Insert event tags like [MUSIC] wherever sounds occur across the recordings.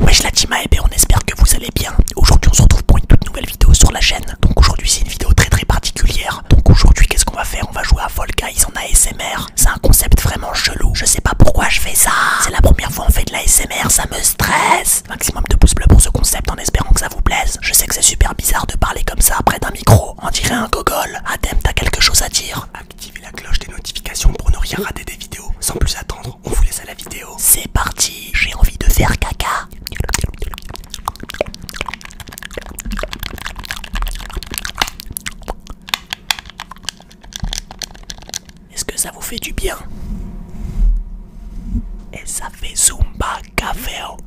Wesh la team eh ben on espère que vous allez bien. Aujourd'hui on se retrouve pour une toute nouvelle vidéo sur la chaîne. Donc aujourd'hui c'est une vidéo très très particulière. Donc aujourd'hui qu'est-ce qu'on va faire On va jouer à Fall Guys en ASMR. C'est un concept vraiment chelou. Je sais pas pourquoi je fais ça. C'est la première fois on fait de l'ASMR, ça me stresse. Maximum de pouces bleus pour ce concept en espérant que ça vous plaise. Je sais que c'est super bizarre de parler comme ça près d'un micro on dirait un gogol. Adem, t'as quelque chose à dire Activez la cloche des notifications pour ne rien rater des vidéos. Sans plus attendre, on vous laisse à la vidéo. C'est parti, j'ai envie de faire caca. Est-ce que ça vous fait du bien Et ça fait Zumba Caféo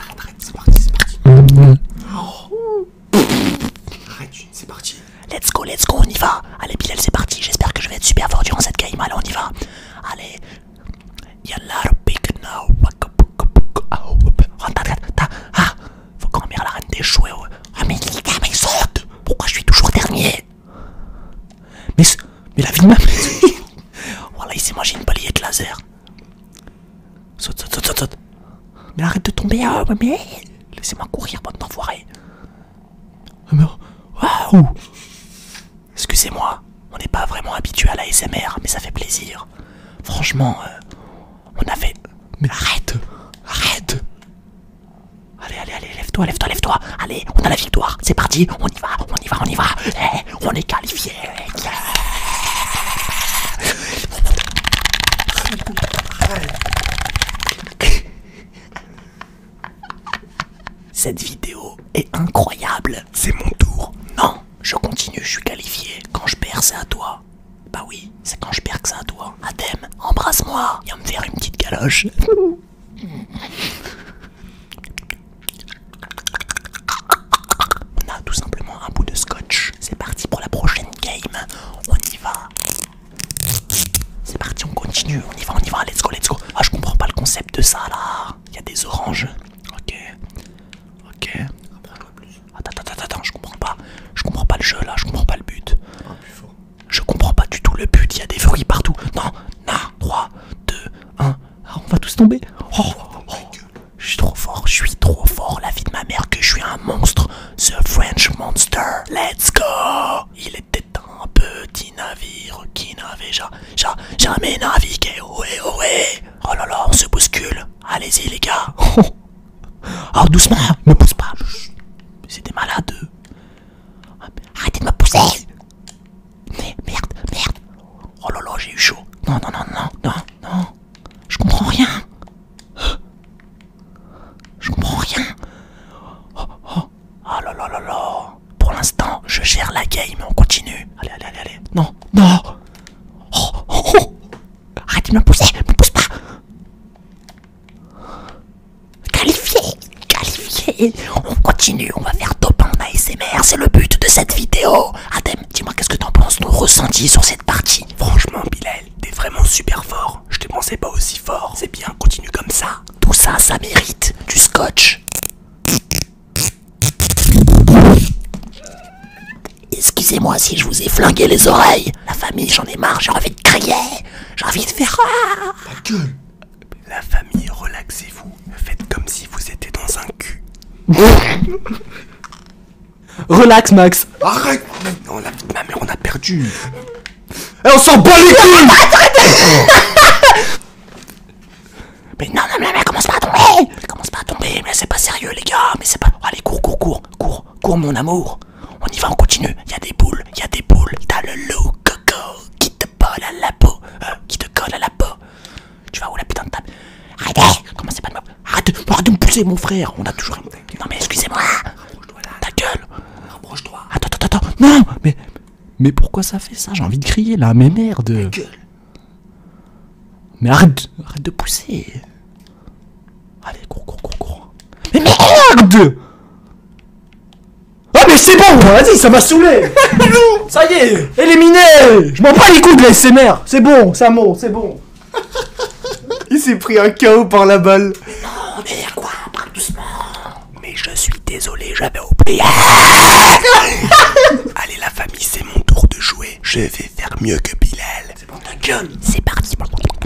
Arrête, arrête, c'est parti, c'est parti. Oh. Arrête, c'est parti. Let's go, let's go, on y va. Allez, Bilal, c'est parti. J'espère que je vais être super fort durant cette game. Allez, on y va. Allez. Yalla, big now. Ah, ah. Faut quand même la reine des jouets. Ah mais les gars, mais Pourquoi je suis toujours dernier Mais la vie de ma [LAUGHS] Voilà, il s'est mangé une balayette laser. Saute, saute, saute, saute, Mais arrête de tomber, oh hein, mais laissez-moi courir, bande enfoiré. Waouh Excusez-moi, on n'est pas vraiment habitué à la SMR, mais ça fait plaisir. Franchement, euh, on a fait... Mais arrête Arrête Allez, allez, allez, lève-toi, lève-toi, lève-toi Allez, on a la victoire, c'est parti, on y va, on y va, on y va eh, On est qualifié [LAUGHS] Cette vidéo est incroyable. C'est mon tour. Non, je continue, je suis qualifié. Quand je perds, c'est à toi. Bah oui, c'est quand je perds que c'est à toi. Adem, embrasse-moi. Viens me faire une petite galoche. On a tout simplement un bout de scotch. C'est parti pour la prochaine game. On y va. C'est parti, on continue. On y va, on y va. Let's go, let's go. Ah, je comprends pas le concept de ça là. Il y a des oranges. Ok. Ok. Attends, attends, attends, je comprends pas. Je comprends pas le jeu là, je comprends pas le but. Je comprends pas du tout le but, il y a des fruits partout. Non, non, 3, 2, 1. on va tous tomber. Oh, oh, oh. je suis trop fort, je suis trop fort. La vie de ma mère que je suis un monstre. The French Monster. Let's go. Il était un petit navire qui n'avait jamais j'ai jamais navigué, ouais, oh, eh, ouais. Oh, eh. oh là là, on se bouscule. Allez-y, les gars. [LAUGHS] Oh, doucement, hein, ne pousse pas. C'est des malades. Arrêtez de me pousser. merde, merde. Oh là là, j'ai eu chaud. Non, non, non, non, non, non. Je comprends rien. Je comprends rien. Oh, oh. Ah là là là là pour l'instant, je gère la game, on continue. Allez, allez, allez, allez. Non, non. de oh, oh, oh. me pousser, me pousse pas. Qualifié, qualifié. On continue, on va faire top en ASMR, c'est le but de cette vidéo. Adem, dis-moi qu'est-ce que t'en penses, nos ressenti sur cette partie. Franchement, Bilal, t'es vraiment super fort. Je t'ai pensé pas aussi fort. C'est bien, continue comme ça. Tout ça, ça mérite du scotch. Excusez-moi si je vous ai flingué les oreilles. La famille, j'en ai marre, j'ai envie de crier. J'ai envie de faire... Ta gueule La famille, relaxez-vous. Faites comme si vous étiez dans un cul. Relax, Max. Arrête Non, la ma mère, on a perdu. Eh, on s'en bat les couilles oh. [LAUGHS] Mais non, non, mais, mais commence pas à tomber Commence pas à tomber, mais c'est pas sérieux, les gars Mais c'est pas... Allez, cours, cours, cours Cours, cours, mon amour On y va, on continue Y'a des boules, y'a des boules T'as le loup, coco, qui te colle à la peau euh, Qui te colle à la peau Tu vas où, la putain de table Arrêtez Commencez pas de me... Arrête, arrête de me pousser, mon frère On a toujours... Non, mais excusez-moi Ta gueule Rapproche-toi Attends, attends, attends Non, mais... Mais pourquoi ça fait ça J'ai envie de crier là, mais merde Mais arrête, de pousser Allez, cours, cours, cours, cours Mais merde Ah mais c'est bon, vas-y, ça m'a saoulé [LAUGHS] Ça y est, éliminé Je m'en bats les coups de la SMR C'est bon, ça mot, c'est bon Il s'est pris un KO par la balle non, dire quoi Parle doucement mais je suis désolé, j'avais oublié. [LAUGHS] Allez la famille, c'est mon tour de jouer. Je vais faire mieux que Bilal. C'est bon, job. C'est parti. [LAUGHS]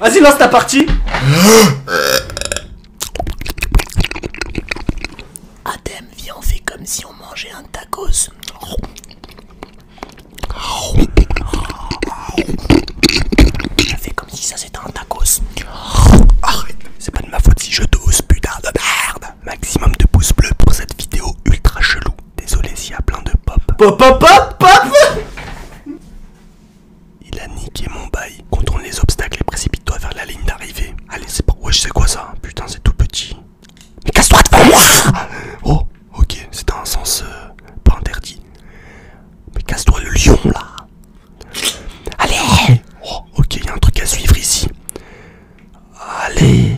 Vas-y, lance ta partie. Adem, viens, fait comme si on mangeait un tacos. Je comme si ça c'était un tacos. Arrête, c'est pas de ma faute si je dose, putain de merde. Maximum de pouces bleus pour cette vidéo ultra chelou. Désolé s'il y a plein de pop. Pop, pop, pop, pop Il a niqué mon bail. Contourne les obstacles et précipite-toi vers la ligne d'arrivée. Allez, c'est pas. Ouais, je sais quoi ça Putain, c'est tout petit. Mais casse-toi devant moi Oh Ok, c'est un sens pas interdit. Mais casse-toi le lion là. Allez Ok, il y a un truc à suivre ici. Allez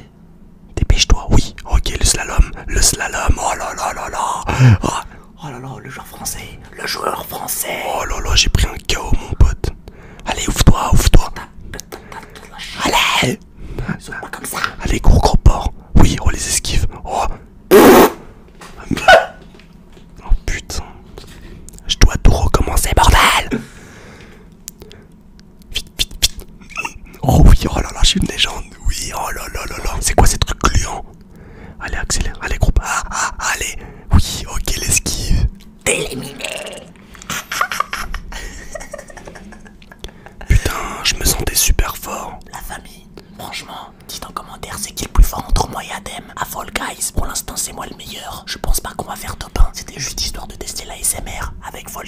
Dépêche-toi, oui. Ok, le slalom, le slalom. Oh là là là là. Oh, là là, le joueur français. Le joueur français. Oh là là, j'ai pris un chaos, mon pote. Allez, ouvre-toi, ouvre-toi. Allez Allez. comme ça. Allez, gros gros porc. Oui, on oh, les esquive. Oh. [LAUGHS] oh. putain. Je dois tout recommencer, bordel. Vite, vite, vite. Oh oui, oh là là, je suis une légende. Oui, oh là là là là. C'est quoi ces trucs gluants Allez, accélère. Allez, groupe. Ah, ah, allez. Oui, ok, l'esquive. esquives. [LAUGHS] Putain, je me sentais super fort. La famille, franchement, dites en commentaire c'est qui le plus fort entre moi et Adem. À Fall pour l'instant c'est moi le meilleur. Je pense pas qu'on va faire top 1. C'était juste histoire de tester la SMR avec Fall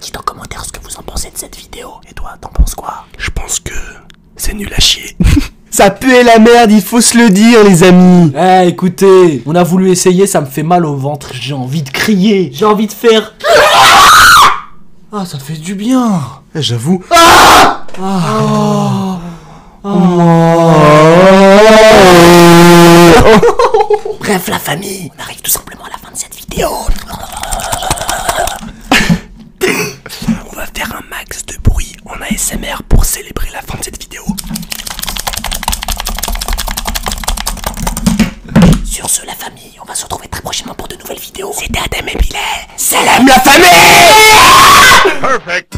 Dites en commentaire ce que vous en pensez de cette vidéo. Et toi, t'en penses quoi Je pense que c'est nul à chier. [LAUGHS] Ça pue la merde, il faut se le dire, les amis. Eh, écoutez, on a voulu essayer, ça me fait mal au ventre. J'ai envie de crier, j'ai envie de faire ah, ça fait du bien eh, J'avoue. Ah ah. Oh. Oh. [LAUGHS] Bref, la famille, on arrive tout simplement à la fin de cette vidéo. [COUGHS] on va faire un max de bruit en ASMR pour célébrer la fin de cette vidéo. Sur ce, la famille, on va se retrouver très prochainement pour de nouvelles vidéos. C'était Adam et Bilal. Salam la famille Perfect